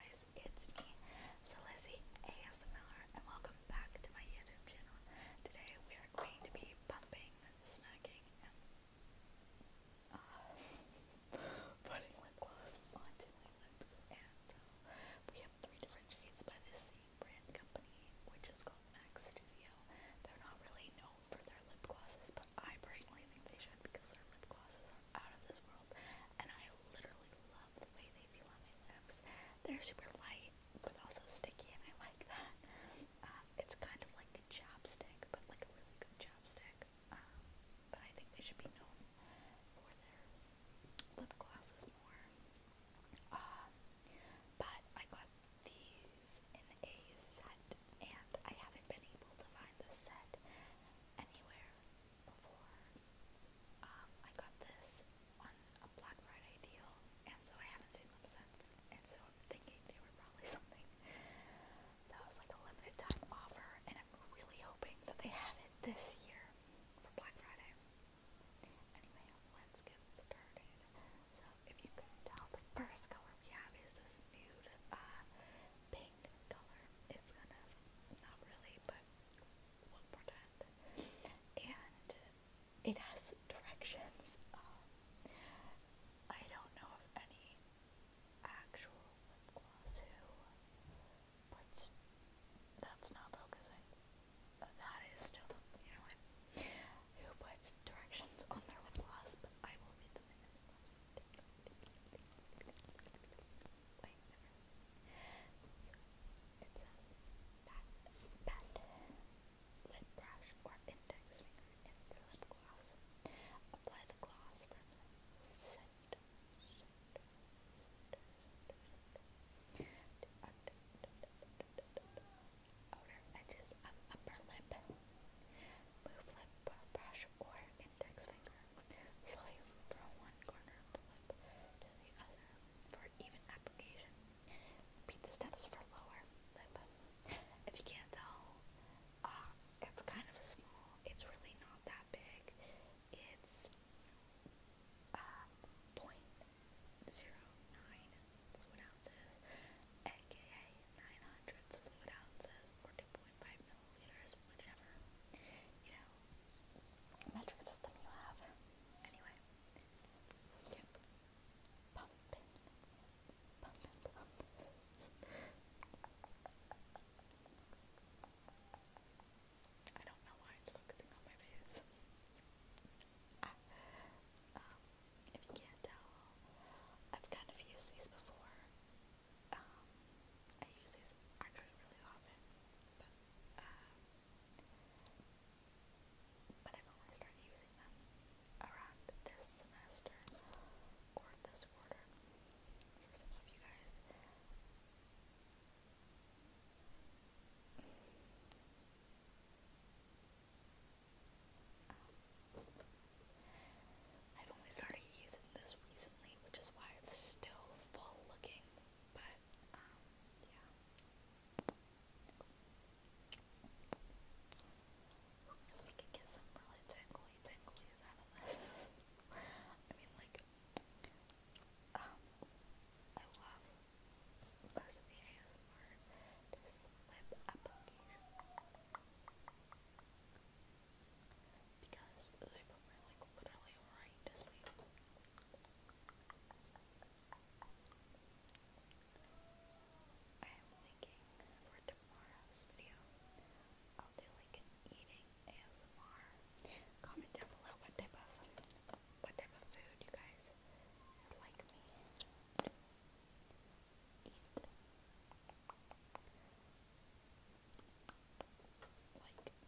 guys, it's me, Celizzy ASMR, and welcome back to my YouTube channel. Today we are going to be pumping, smacking, and uh, putting lip gloss onto my lips. And so we have three different shades by the same brand company, which is called Max Studio. They're not really known for their lip glosses, but I personally think they should because their lip glosses are out of this world, and I literally love the way they feel on my lips. They're super light, but also sticky, and I like that. Um, it's kind of like a chapstick, but like a really good chapstick. Um, but I think they should be known for their lip glosses more. Um, but I got these in a set, and I haven't been able to find the set anywhere before. Um, I got this on a Black Friday deal, and so I haven't seen them since. And so I'm thinking they were probably something that was like a limited time offer, and I'm really hoping that they have it this year for Black Friday. Anyway, let's get started. So, if you could tell, the first color we have is this nude uh, pink color. It's kind of, not really, but we'll pretend. And it has directions. Um, I don't know of any actual lip gloss who puts, that's not focusing. Uh, that is still, you know Who puts directions on their lip gloss, but I will read them in Wait, never. lip brush or index finger in lip gloss. Apply the gloss from the center, center, center, outer edges of upper lip move lip brush or index finger slowly from one corner of the lip to the other for even application. Repeat the steps for lower lip. If you can't tell, uh, it's kind of small. It's really not that big. It's um, 0.09 fluid ounces, aka 900 fluid ounces or milliliters, whichever, you know, metric system you have. Anyway, yep. Pumping. Pumping, I don't know why it's focusing on my face. Ah, um, if you can't tell, I've kind of used these before. Um, I use these actually really often, but, uh, but I've only started using them around this semester or this quarter for some of you guys. Um, I've only started using this recently, which is why it's still full looking, but um, yeah. we could get some really tingly tinglies out of this. I mean, like, um, I love this lip application. Because they put me like literally right to sleep. I am thinking for tomorrow's video, I'll do like an eating ASMR. Comment down below what type of what type of food you guys would like me like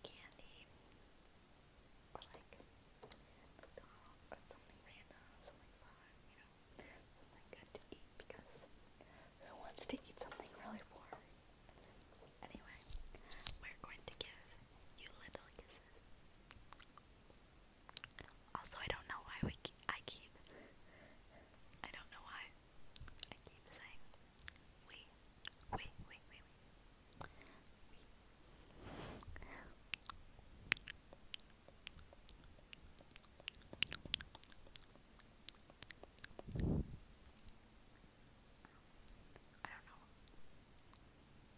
candy like something random, something fun, you know, something good to eat because who wants to eat something really poor? Anyway, we're going to give you little kisses. Also, I don't know why we I keep I don't know why I keep saying we we we we we. I don't know.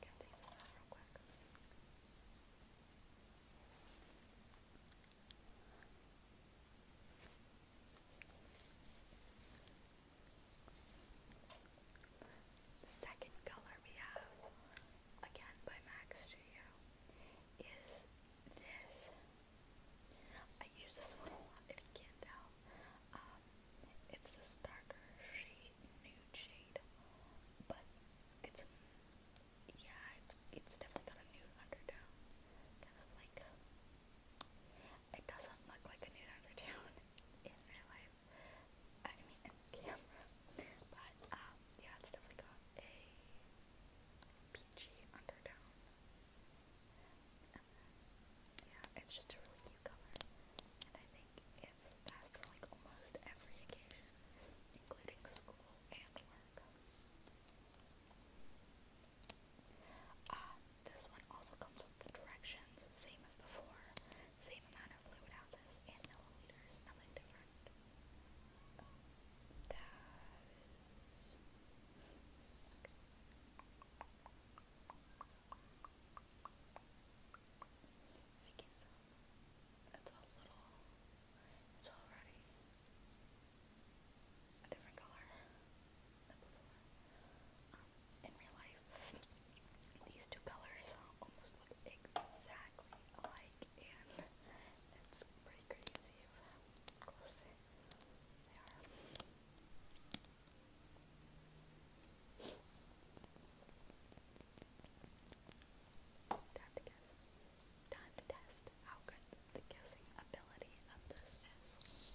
Can Second color we have, again by Max Studio, is this. I use this one a lot if you can't tell. Um, it's this darker shade nude shade, but it's yeah, it's, it's definitely got a nude undertone, kind of like it doesn't look like a nude undertone in real life. I mean, in camera, but um, yeah, it's definitely got a peachy undertone. And yeah, it's just a really cute color, and I think gets passed for like almost every occasion, including school and work. Uh, this one also comes with the directions, same as before, same amount of fluid ounces and milliliters, nothing different. That is... I can um, in real life these two colors almost look exactly alike and it's pretty crazy how close they are. Time to test how good the guessing ability of this is.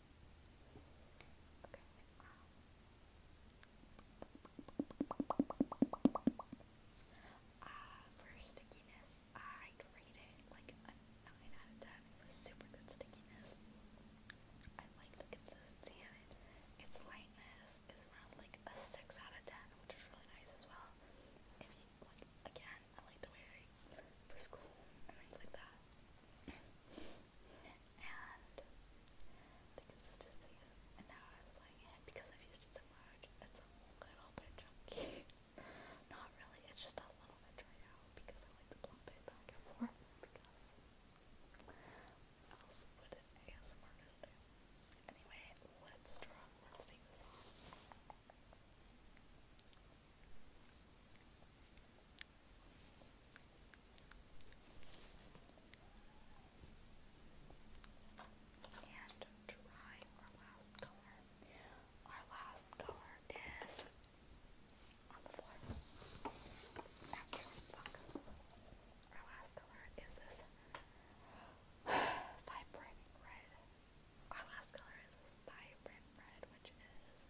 Ah, for stickiness, I'd like a 9 out of 10. It was super good stickiness. I like the consistency of it. Its lightness is around like a 6 out of 10, which is really nice as well. If you, like, again, that. I like the way I for school and things like that. and the consistency and now I'm playing it because I've used it so much. It's a little bit chunky. Not really, it's just a little bit dried out because I like to plump it back and forth because else would an ASM do? Anyway, let's draw let's take this off. And try our last color. Our last color is on the floor. Our last color is this vibrant red. Our last color is this vibrant red, which is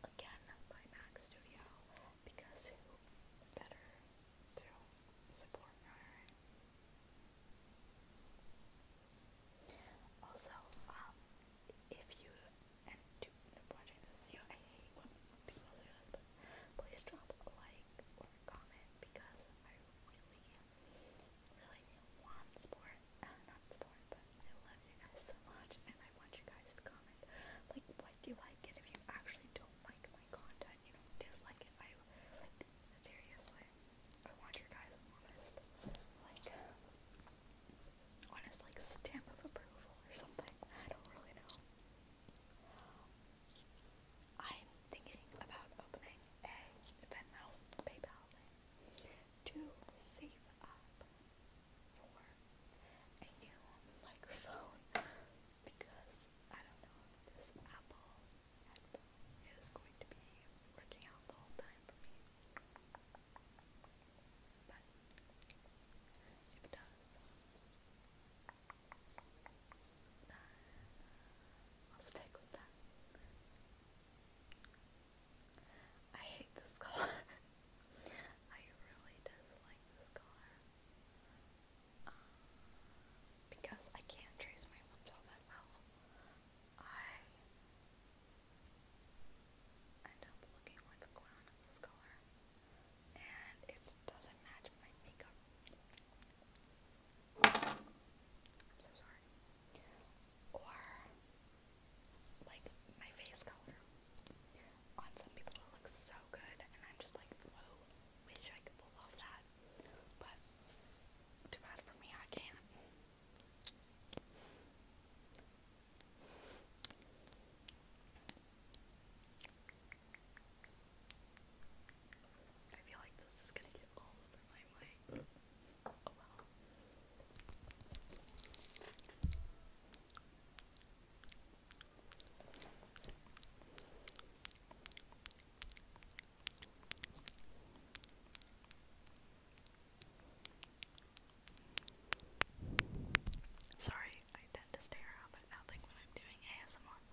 again by MAC Studio because who better to support Also, um, if you and do watching this video, I hate when people do this, but please drop a like or comment because I really really one sport, uh, not sport, but I love you guys so much, and I want you guys to comment, like, what you like, and if you actually don't like my content, you dislike it, I, like, seriously, I want your guys' honest, like, honest, like, stamp of approval or something, I don't really know. I'm thinking about opening a Venmo PayPal to save up for a new microphone because I don't know if this Apple headphone is going to be working out the whole time for me. But if it does, I'll stick with that. I hate this color. I really dislike this color. Um, because I can't trace my lips all that well. I end up looking like a clown in this color. And it doesn't match my makeup. I'm so sorry. Or like my face color. On some people it looks so good and I'm just like, wish I could pull off that. But too bad for me, I can't. I feel like this is gonna get all the limelight. Oh well. Sorry, I tend to stare up at nothing when I'm doing ASMR.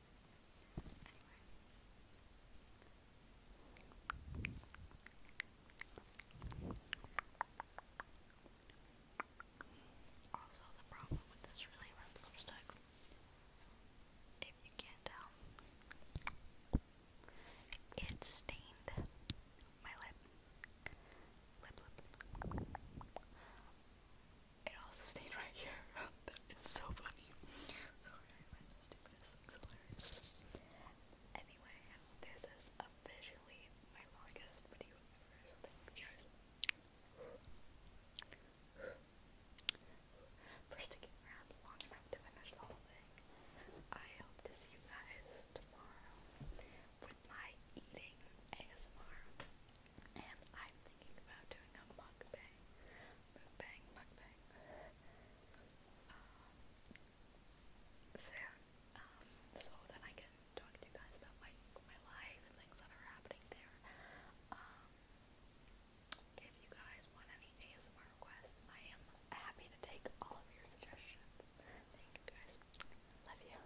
Also, the problem with this really red lipstick, if you can't tell, it stained my lip. Lip, lip it also stayed right here. that is so funny. Sorry, I find the stupidest things hilarious. Anyway, this is officially my longest video ever, so guys for sticking around long enough to finish the whole thing. I hope to see you guys tomorrow with my eating ASMR. And I'm thinking about doing a mukbang. Mukbang, mukbang. soon. Um, so um, then I can talk to you guys about my, my life and things that are happening there. Um, if you guys want any ASMR requests, I am happy to take all of your suggestions. Thank you guys. Love you.